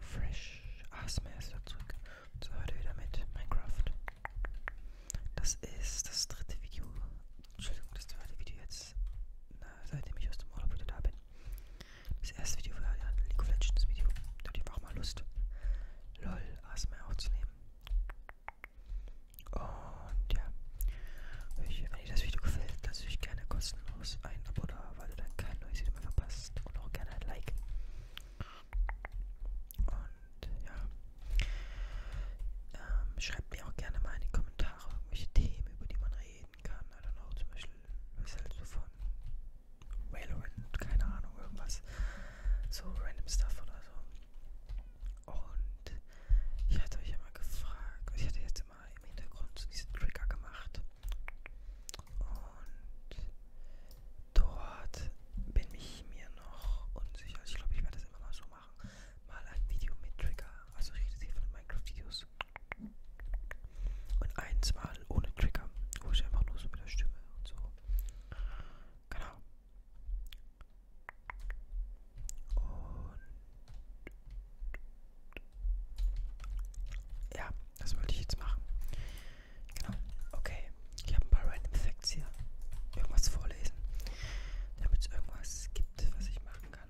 Fresh ASMR ist da zurück und so heute wieder mit Minecraft. Das ist das dritte Video, Entschuldigung, das zweite Video jetzt, na, seitdem ich aus dem Urlaub wieder da bin. Das erste Video war ja ein League of Legends Video, da hatte ich auch mal Lust, LOL ASMR aufzunehmen. Und ja, ich, wenn dir das Video gefällt, lasse ich gerne kostenlos ein Abo da Genau, weil du dann kein neues Video mehr verpasst und auch gerne ein Like. Und ja, ähm, schreibt mir auch gerne mal in die Kommentare irgendwelche Themen, über die man reden kann. I don't know, zum Beispiel, was halt so von Valorant, keine Ahnung, irgendwas. So random stuff oder so. Und ich hatte euch ja mal gefragt, ich hatte jetzt immer im Hintergrund so diese Trigger gemacht. Und dort bin ich mir noch unsicher. Also ich glaube, ich werde das immer mal so machen. Mal ein Video mit Trigger. Also ich rede hier von Minecraft-Videos. Und eins mal ohne Trigger. Wo ich einfach nur so mit der Stimme und so. Genau. Und ja, das wollte ich jetzt machen. Genau. Okay. Ich habe ein paar Random Facts hier. Irgendwas vorlesen. Damit es irgendwas gibt, was ich machen kann.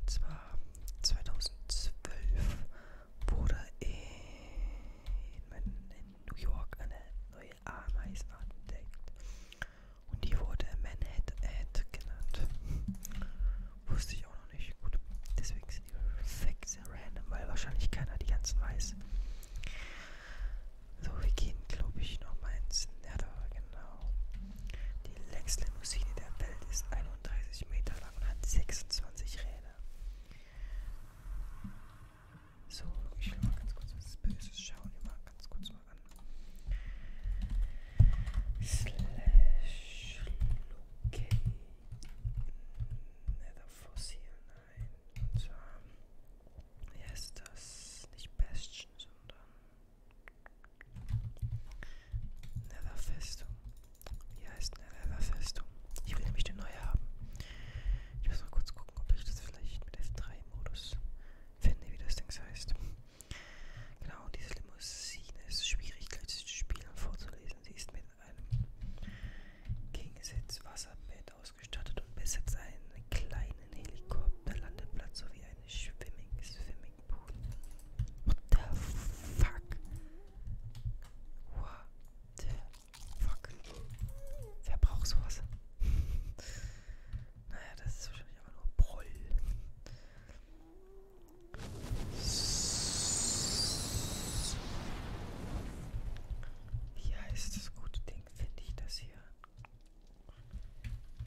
Und zwar 2012 wurde in, in New York eine neue Ameisenart entdeckt. Und die wurde Manhattan genannt. Wusste ich auch noch nicht. Gut. Deswegen sind die Facts sehr random, weil wahrscheinlich keiner die ganzen weiß. So, wir gehen, glaube ich, nochmal ins Nether. Genau. Die längste Limousine der Welt ist 31 Meter lang und hat 26 Räder. So, ich schaue mal ganz kurz was Böses. Schauen wir mal ganz kurz mal an. Slash Location. Netherfossil, nein. Und zwar, wie heißt das? Nicht Bastion, sondern Netherfestung. Wie heißt Netherfestung? Ich will nämlich eine neue haben. Ich muss mal kurz gucken, ob ich das vielleicht mit F3-Modus finde, wie das Ding heißt. Genau, diese Limousine ist schwierig, gleich zu spielen vorzulesen. Sie ist mit in einem Kingsitz Wasserbett ausgestattet und besitzt einen kleinen Helikopterlandeplatz sowie einen Swimming Swimmingpool. What the fuck? What the fuck? Wer braucht sowas? naja, das ist wahrscheinlich einfach nur Proll. Wie heißt das gute Ding? Finde ich das hier?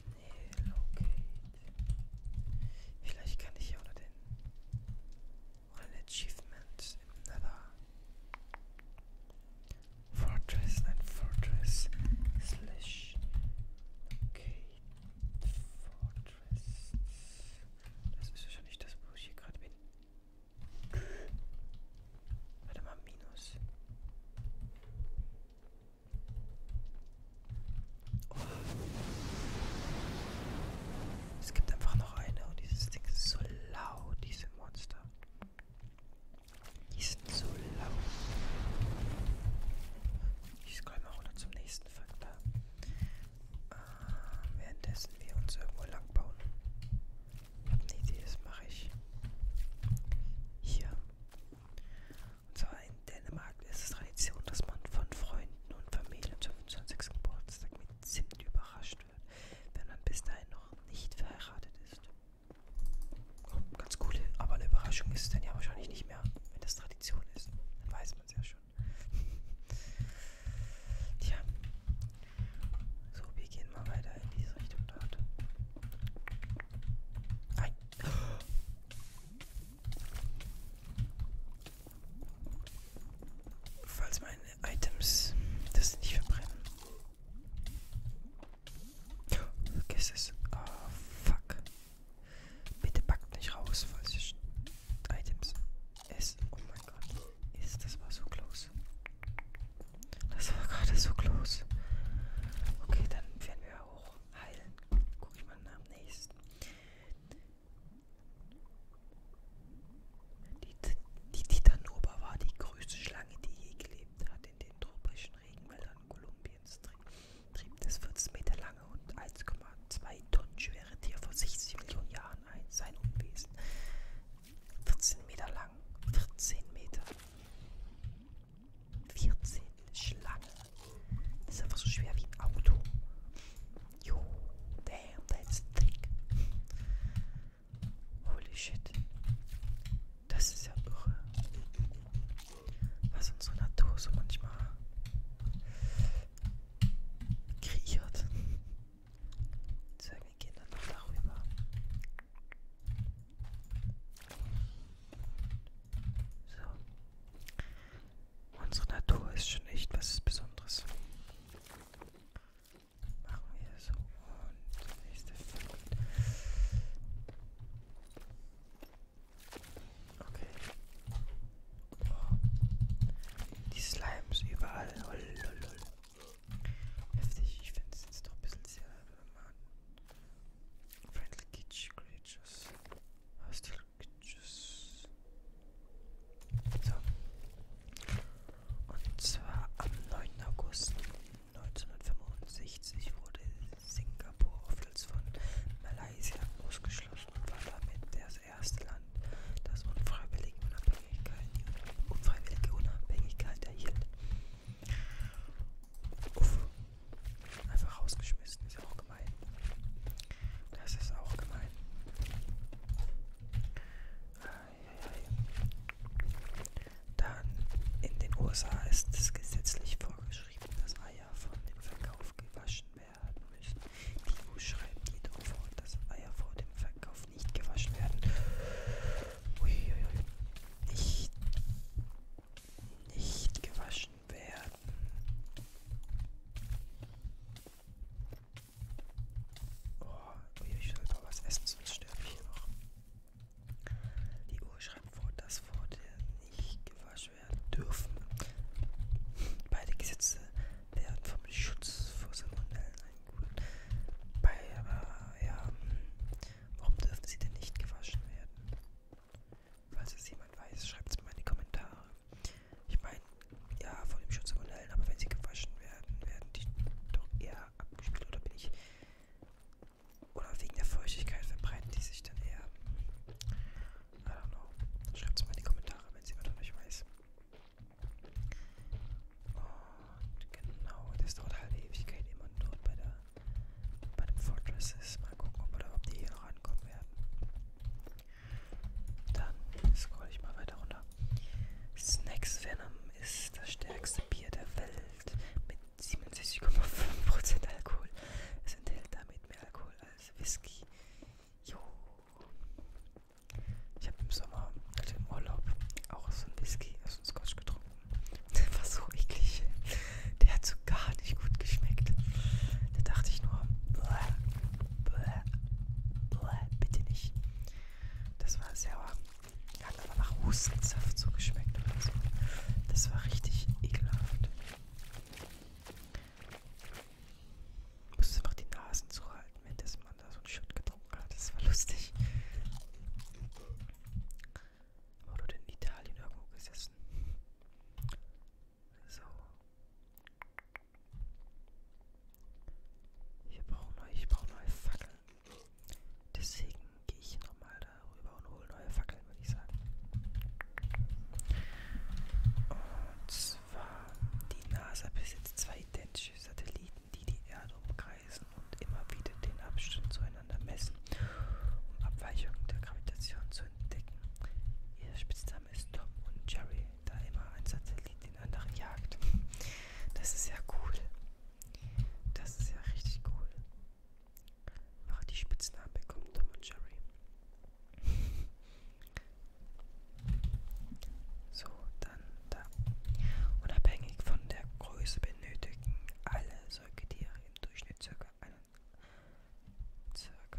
Nee, locate. Vielleicht kann ich hier unter den oder den Achievements im Nether. Fortress, nein, Fortress slash locate Fortress. Das ist wahrscheinlich das, wo ich hier gerade bin. Warte mal, Minus. Oh. Es gibt einfach noch eine und dieses Ding ist so laut, diese Monster. Die sind so laut. Ich scroll mal runter zum nächsten Faktor. Äh, währenddessen wir uns irgendwo lang bauen. Ich habe eine Idee, das mache ich hier. Und zwar in Dänemark ist es Tradition, dass man von Freunden und Familie zum 25. Geburtstag mit Zimt überrascht wird, wenn man bis dahin noch nicht verheiratet ist. Oh, ganz coole, aber eine Überraschung ist es dann ja wahrscheinlich nicht mehr, wenn das Tradition ist. Dann weiß man es ja schon. Tja. So, wir gehen mal weiter in diese Richtung dort. Nein. Falls meine Items das nicht verbrennen. Vergiss es. Oh, fuck. Bitte packt nicht raus, falls ihr Items ist, oh mein Gott, ist, das war so close. Das war gerade so close. Okay, dann werden wir hoch. Heilen. Guck ich mal am nächsten. Die, die Titanoba war die größte Schlange, die je gelebt hat in den tropischen Regenwäldern Kolumbiens. Trieb des 14 Meter langen lange und 1,2 Tonnen schwere Tier vor 60 Millionen Jahren ein, sein Unwesen. 14 Meter lang, 14 Meter. 14 Schlangen. Das ist einfach so schwer wie ein Auto. Jo, damn, that's thick. Holy shit. Das ist ja irre. Was unsere Natur so manchmal kriechert. So, wir gehen dann noch darüber. So. Unsere Natur ist schon echt was Besonderes. Machen wir so und nächste Feld. Okay. Die Slimes überall. Lol, lol, lol. Heftig, ich finde es jetzt doch ein bisschen sehr. Man. Friendly Kitsch Creatures. Hostile Creatures. So. Und zwar am 9. August 1965 wurde Singapur oftmals von Malaysia ausgeschlossen und war damit der erste Land, das unfreiwillige Unabhängigkeit, die unfreiwillige Unabhängigkeit erhielt. Uff. Einfach rausgeschmissen, ist auch gemein. Das ist auch gemein. Dann in den USA ist es gesetzlich vorgeschrieben, dass Eier von dem Verkauf gewaschen werden müssen. Timo schreibt jedoch vor, dass Eier vor dem Verkauf nicht gewaschen werden. Uiuiui. Nicht, nicht gewaschen werden. Oh, ich sollte mal was essen, sonst sterbe ich hier noch. Die Uhr schreibt vor, dass Worte nicht gewaschen werden dürfen. Beide Gesetze werden vom Schutz vor Salmonellen eingeholt. Bei, aber ja, hm, warum dürfen sie denn nicht gewaschen werden? Falls es jemand weiß, schreibt es mal in die Kommentare. Ich meine, ja, vor dem Schutz Salmonellen, aber wenn sie gewaschen werden, werden die doch eher abgespielt oder bin ich. Oder wegen der Feuchtigkeit verbreiten die sich dann eher. I don't know. Schreibt es mal in die Kommentare, wenn es jemand von euch weiß. Und genau, das dauert halt Ewigkeit, ehe man dort bei, der, bei dem Fortress ist. Mal gucken, ob, oder ob die hier noch rankommen werden. Dann scroll ich mal weiter runter. Snacks Venom ist das stärkste Bier der Welt mit 67,5% Alkohol. Es enthält damit mehr Alkohol als Whisky. Jo. Ich habe im Sommer, also im Urlaub, auch so einen Whisky, also einen Scotch getrunken. Der war so eklig. Der hat so gar nicht gut geschmeckt. Da dachte ich nur, bleh, bleh, bleh, bitte nicht. Das war sehr warm. Hat aber nach Hustensaft so geschmeckt oder so. Das war richtig ekelhaft. Musste einfach die Nasen zuhalten, wenn das man da so einen Shot getrunken hat. Das war lustig. Oder in Italien irgendwo gesessen. So. Ich brauche neue, ich brauche neue Fackeln. Deswegen gehe ich nochmal darüber und hole neue Fackeln, würde ich sagen. Und zwar war, die NASA besitzt zwei identische Satelliten, die die Erde umkreisen und immer wieder den Abstand zueinander messen, um Abweichungen der Gravitation zu entdecken. Ihr Spitzname ist Tom und Jerry, da immer ein Satellit den anderen jagt. Das ist ja cool. Das ist ja richtig cool. Aber die Spitznamen bekommen Tom und Jerry. So, dann da. Unabhängig von der Größe benötigen alle Säugetiere im Durchschnitt ca.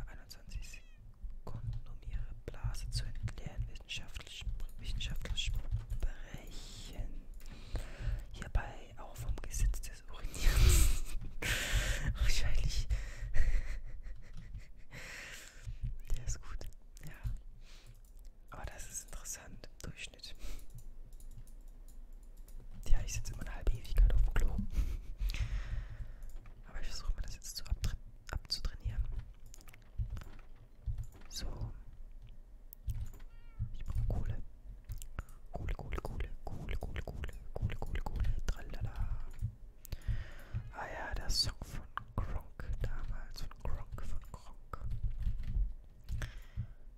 21 Sekunden, um ihre Blase zu entleeren. Wissenschaftlich, wissenschaftlich sprechen hierbei auch vom Gesetz des Urinierens. Wahrscheinlich. Der ist gut. Ja. Aber das ist interessant. Durchschnitt. Ja, ich sitze immer eine halbe Ewigkeit auf dem Klo. Aber ich versuche mir das jetzt zu abzutrainieren. So. Ich brauche Kohle. Kohle, Kohle, Kohle, Kohle, Kohle, Kohle, Kohle, Kohle, Kohle, tralala. Ah ja, der Song von Gronk damals, von Gronk, von Gronk.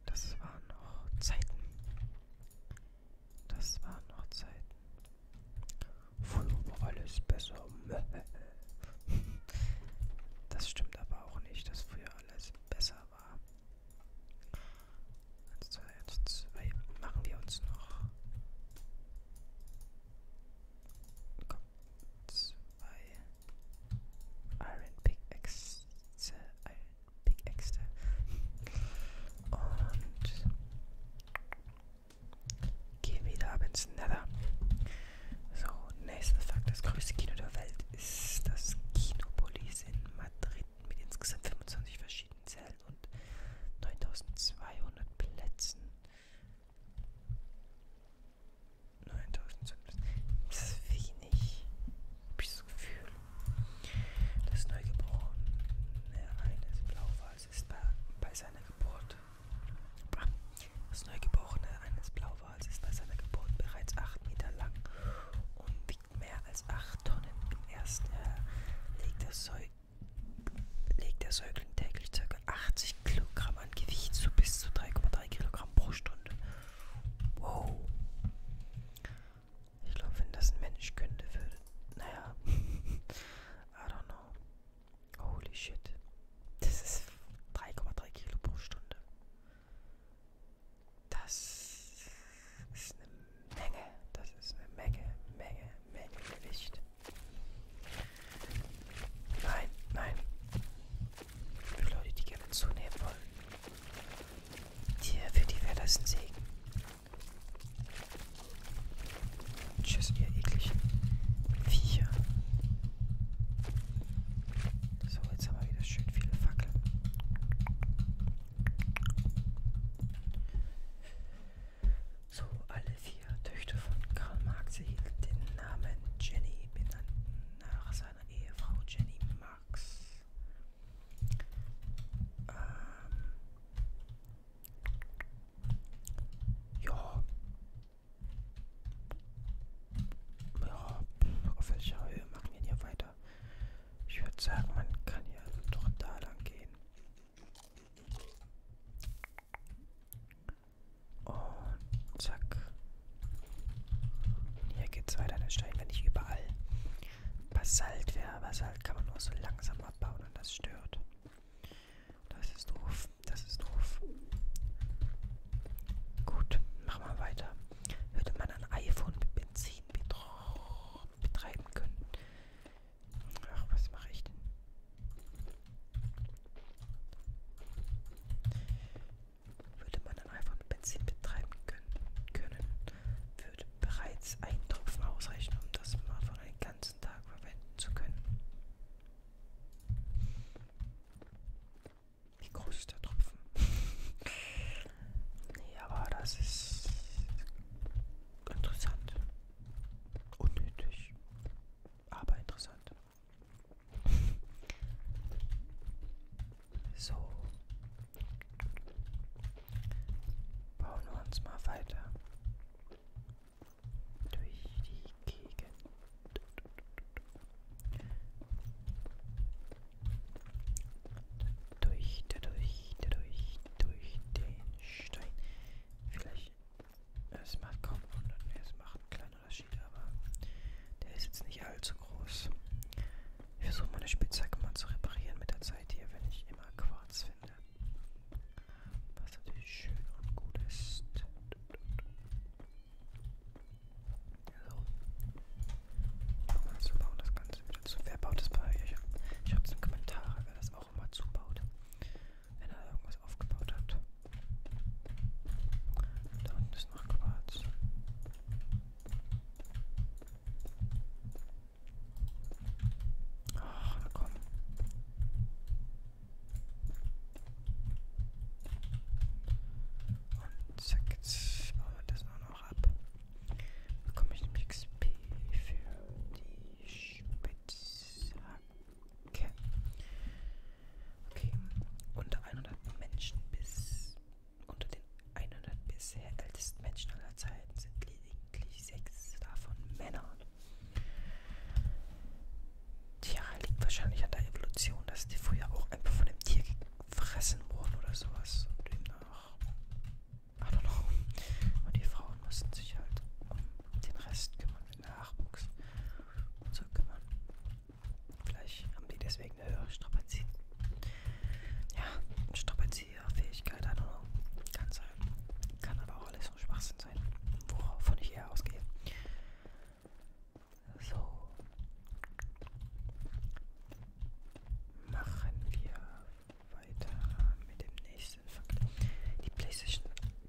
Das waren noch Zeiten. Das waren noch Zeiten. Früher war alles besser. Das stimmt aber auch nicht, dass früher alles besser war. 1, 2, 1, 2. Machen wir uns noch kommt zwei Iron Pickaxe, Iron Pickaxe und gehen wieder ab ins Nether. So, nächster Fakt, das größte Kino der Welt ist das Kinopolis in Madrid mit insgesamt 25 verschiedenen Zellen und 9200 Plätzen. 9000 Cent. Das ist wenig. Hab ich das Gefühl. Das Neugeborene eines Blauwals ist bei, bei seiner Geburt. Das Neugeborene eines Blauwals ist bei seiner Geburt bereits 8 Meter lang und wiegt mehr als 8 Tonnen. Im ersten Jahr legt das Säugling legt der Säugling täglich ca. 80 Kilogramm an Gewicht, so bis zu 3,3 Kilogramm pro Stunde. Wow. Ich glaube, wenn das ein Mensch könnte, würde. Naja. I don't know. Holy shit. Das ist 3,3 Kilo pro Stunde. Das ist eine Menge. Das ist eine Menge, Menge, Menge Gewicht. Nein, nein. Für Leute, die gerne zunehmen wollen. Dir, für die wäre das ein Segen. Tschüss, ihr ekligen Viecher. So, jetzt haben wir wieder schön viele Fackeln. So alle vier Töchter von Karl Marx erhielten den Namen Jenny, benannt nach seiner Ehefrau Jenny Marx. Ähm, ja. Ja, auf welcher Höhe machen wir hier weiter? Ich würde sagen, man kann ja doch da lang gehen. Und zack. Und hier geht's weiter. Der Stein wäre nicht überall. Basalt wäre. Basalt kann man nur so langsam abbauen und das stört. Das ist doof. Das ist doof. Gut, machen wir weiter. Würde man ein iPhone mit Benzin betreiben können, Ach, was mache ich denn? Würde man dann einfach mit Benzin betreiben können, würde bereits ein Tropfen ausreichen, um das mal von einen ganzen Tag verwenden zu können. Wie groß ist der Tropfen? nee, aber das ist interessant. Unnötig, aber interessant. So. Bauen wir uns mal weiter durch die Gegend. Durch, durch, durch, durch den Stein. Vielleicht es macht kaum Wunder, nee, es macht einen kleinen Unterschied, aber der ist jetzt nicht allzu groß. Ich versuche meine Spitzhacke mal zu reparieren mit der Zeit hier, wenn ich immer Quarz finde. Was natürlich schön und gut ist. So. Nochmal also, zubauen das Ganze wieder zu. Wer baut das bei euch? Schreibt es in die Kommentare, wer das auch immer zubaut wenn er irgendwas aufgebaut hat. Da unten ist noch Quarz. Ach, na komm. Und zack, jetzt bauen wir das auch noch ab. Bekomme ich nämlich XP für die Spitzhacke. Okay. Okay. Unter 100 Menschen bis unter den 100 bisher ältesten Menschen aller Zeiten sind lediglich sechs davon Männer. Tja, liegt wahrscheinlich an der Evolution, dass die früher auch einfach von dem Tier gefressen wurden oder sowas. Und demnach. I don't know. Und die Frauen mussten sich halt um den Rest kümmern. Nachwuchs und so kümmern. Vielleicht haben die deswegen eine höhere Strapazier ja, Strapazierfähigkeit, I don't know. Kann sein. Kann aber auch alles nur Schwachsinn sein, wovon ich eher ausgehe. So. Machen wir weiter mit dem nächsten. Fakt. Die PlayStation,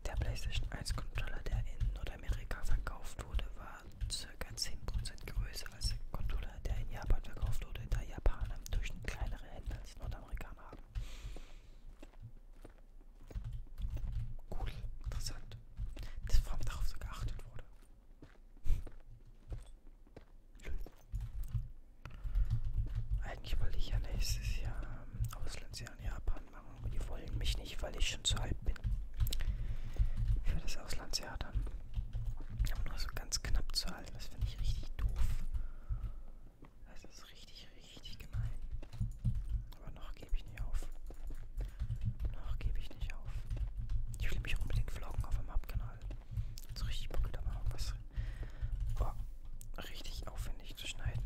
der PlayStation 1 Controller, der in Nordamerika verkauft wurde, war ca. 10% größer als der Controller, der in Japan verkauft wurde, da Japaner im Durchschnitt kleinere Hände als Nordamerikaner haben. Cool, interessant, dass vor allem darauf so geachtet wurde. Eigentlich wollte ich ja nächstes Jahr ähm, Auslands sie an Japan machen, aber die wollen mich nicht, weil ich schon zu alt bin. Für das Auslandsjahr dann. Aber nur so ganz knapp zu halten, das finde ich richtig doof. Das ist richtig, richtig gemein. Aber noch gebe ich nicht auf. Noch gebe ich nicht auf. Ich will mich unbedingt vloggen auf dem Hauptkanal. Jetzt richtig Bock da mal was Boah, richtig aufwendig zu schneiden.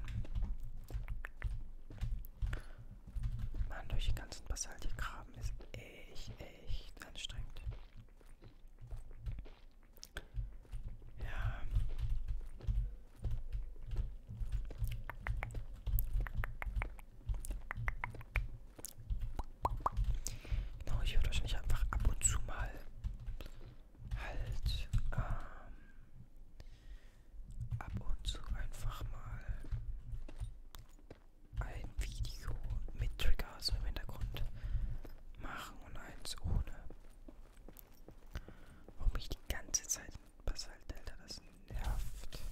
Mann, durch die ganzen Basalt hier graben ist echt, echt anstrengend. Ja. Genau, ich werde wahrscheinlich einfach ab und zu mal halt ähm, ab und zu einfach mal ein Video mit Triggers so im Hintergrund machen und eins ohne. Warum ich die ganze Zeit Basalt halt, Delta das nervt.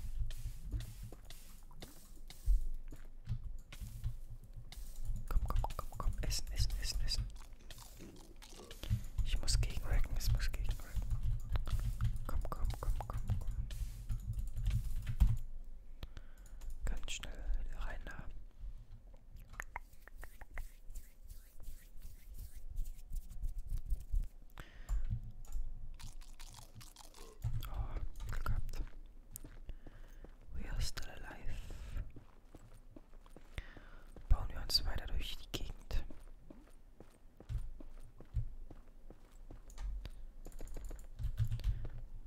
Komm, komm, komm, komm, komm, essen, essen, essen, essen. Ich muss gegenrecken, es muss gegenrecken. Komm, komm, komm, komm, komm. Ganz schnell rein da. Oh, Glück gehabt. We are still alive bauen wir uns weiter durch die Gegend.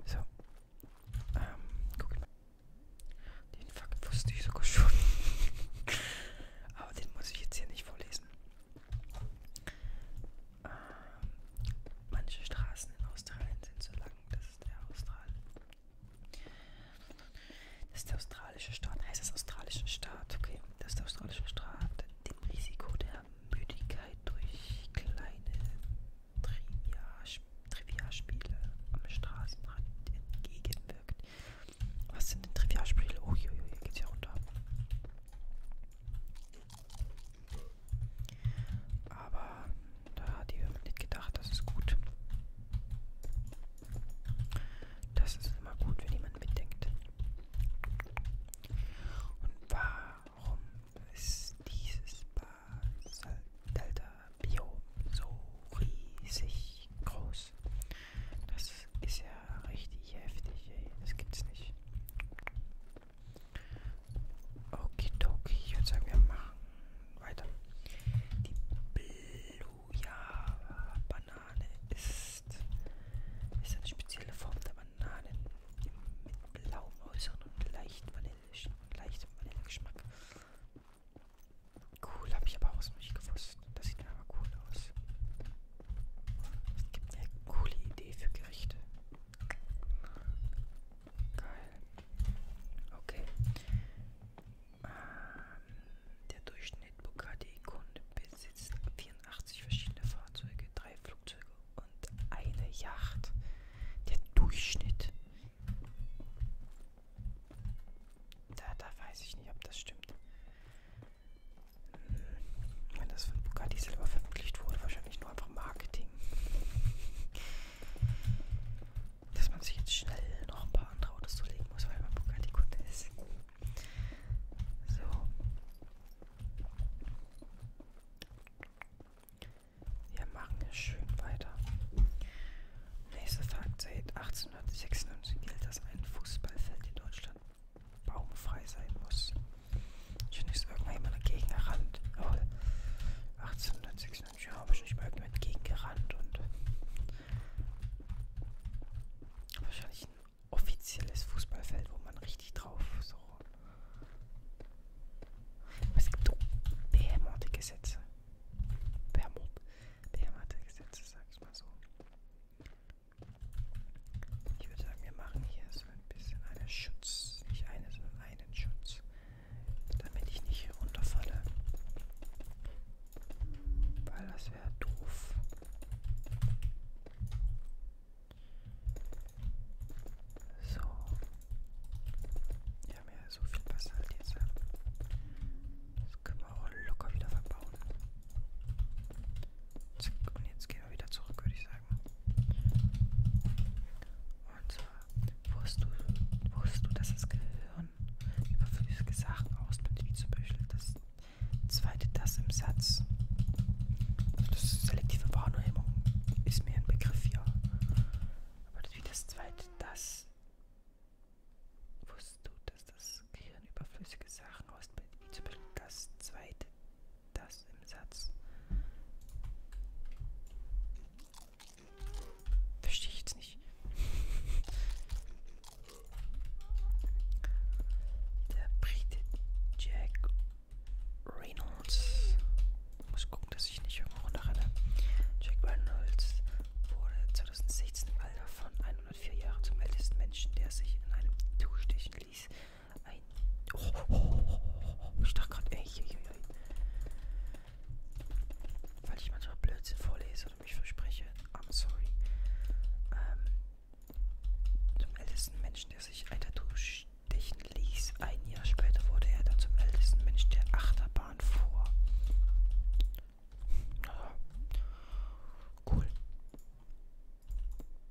So. Ähm, guck mal. Den Fakt wusste ich sogar schon. Aber den muss ich jetzt hier nicht vorlesen. Ähm, manche Straßen in Australien sind so lang, dass der Austral das ist der australische Staat. Heißt das australische Staat? Okay, das ist der australische Staat. Dem Risiko der Müdigkeit durch kleine Trivialspiele am Straßenrand entgegenwirkt. Was sind denn Trivialspiele? Oh, hier, hier geht's ja runter. Aber da hat ihr nicht gedacht, das ist gut. Das ist immer gut, wenn jemand mitdenkt. Und warum ist dieses Basaldelta-Biom so riesig groß? Das ist ja richtig heftig, ey. Das gibt's nicht. Okidoki, ich würde sagen, wir machen weiter. Die Blue Thuja-Banane ist, ist eine spezielle Form der Bananen mit blauem Äußeren und leicht vanillischen, leichtem Vanillegeschmack. Cool, habe ich aber auch so nicht gewusst. Das sieht mir aber cool aus. Es gibt eine coole Idee für Gerichte. Geil. Okay. Der Durchschnitt Bugatti-Kunde besitzt 84 verschiedene Fahrzeuge, drei Flugzeuge und eine Yacht. Der Durchschnitt. Da, da weiß ich nicht, ob das stimmt. Hm, wenn das von Bugatti selber veröffentlicht wurde, wahrscheinlich nur einfach Marketing dass man sich jetzt schnell noch ein paar andere Autos zulegen muss, weil man Bugatti-Kunde ist. So. Wir machen es schön weiter. Nächster Tag, seit 1896 gilt, dass ein Fußballfeld in Deutschland baumfrei sein muss. Schon ist irgendwann jemand dagegen gerannt. Obwohl, 1896, ja, wahrscheinlich mal irgendjemand gegengerannt und Wahrscheinlich ein offizielles Fußballfeld, wo man richtig drauf so. Aber es gibt behämmerte Gesetze. Behämmerte Gesetze, sag ich mal so. Ich würde sagen, wir machen hier so ein bisschen einen Schutz. Nicht eine, sondern einen Schutz. Damit ich nicht runterfalle. Weil das wäre doof. So. Wir haben ja so viel Wasser halt jetzt. Ne? Das können wir auch locker wieder verbauen. Zack, und jetzt gehen wir wieder zurück, würde ich sagen. Und zwar, wusstest du, wusstest du, dass das Gehirn von überflüssige Sachen aus mit zum Beispiel das zweite das im Satz. Das selektive Wahrnehmung ist mir ein Begriff hier. Aber wie das zweite das wusstest du, dass das Gehirn überflüssige Sachen ausbildet, wie zum Beispiel das zweite das im Satz. Verstehe ich jetzt nicht. Der Brite Jack Reynolds. Ich muss gucken, dass ich nicht irgendwo runterrenne. Jack Reynolds wurde 2016 im Alter von 104 Jahren zum ältesten Menschen, der sich in einem Du stechen ließ. Ein. Oh, oh, oh, oh ich dachte gerade, ey, ey, ey, ey. Weil ich manchmal Blödsinn vorlese würde mich versprechen. I'm sorry. Ähm, zum ältesten Menschen, der sich ein Tattoo stechen ließ. Ein Jahr später wurde er dann zum ältesten Menschen, der Achterbahn fuhr. Ja. Cool.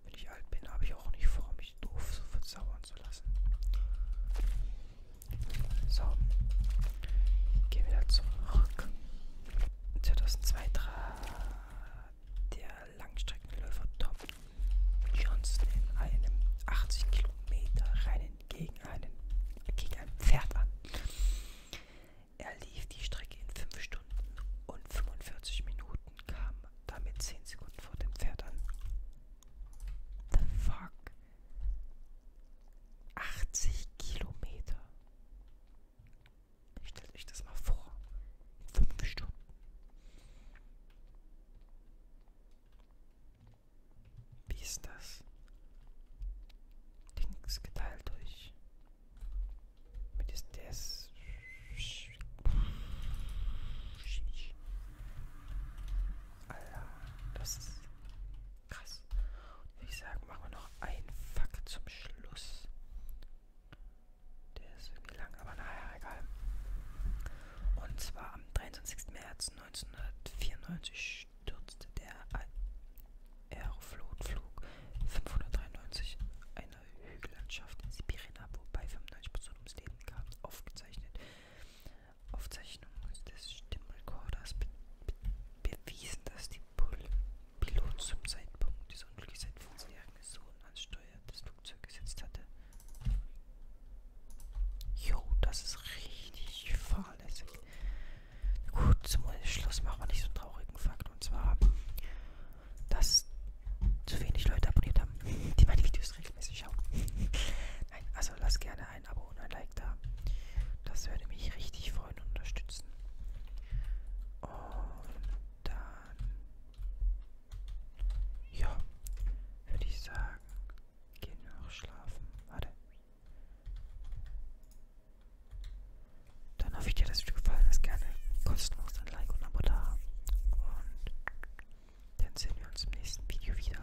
Wenn ich alt bin, habe ich auch nicht vor, mich doof so versauern zu lassen. So. Gehen wir wieder zurück. 2002 trat der Langstreckenläufer Tom Johnson in einem 80 Kilometer Rennen gegen, einen, gegen ein Pferd an. Er lief die Strecke in 5 Stunden und 45 Minuten, kam damit 10 Sekunden vor dem Pferd an. The fuck? 80 Kilometer. Stellt euch das mal vor. Fünf Stunden. Wie ist das? Links geteilt durch. Mit ist das. Alter, das ist Krass. Und ich sage, machen wir noch einen Fakt zum Schluss. Der ist irgendwie lang, aber naja, egal. Und zwar am 23. März 1994 stürzte der Aeroflotflug 593 einer Hügellandschaft in Sibirien ab, wobei 95 Personen ums Leben kamen, aufgezeichnet. Aufzeichnung des Stimmrekorders bewiesen, dass die Pul Pilot zum Zeitpunkt des Unglücks seinen 15-jährigen Sohn ans Steuer des Flugzeugs gesetzt hatte. Jo, das ist richtig fahrlässig. Gut, zum Schluss machen wir nicht so einen traurigen Fakt. Und zwar, dass zu wenig Leute abonniert haben, die meine Videos regelmäßig schauen. Nein, also lasst gerne ein Abo und ein Like da. Das würde mich richtig freuen und unterstützen. Und dann, ja, würde ich sagen, gehen wir noch schlafen. Warte. Dann hoffe ich dir, dass es dir gefallen ist. Gerne kostenlos ein Like und ein Abo da. Und dann sehen wir uns im nächsten Video wieder.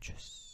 Tschüss.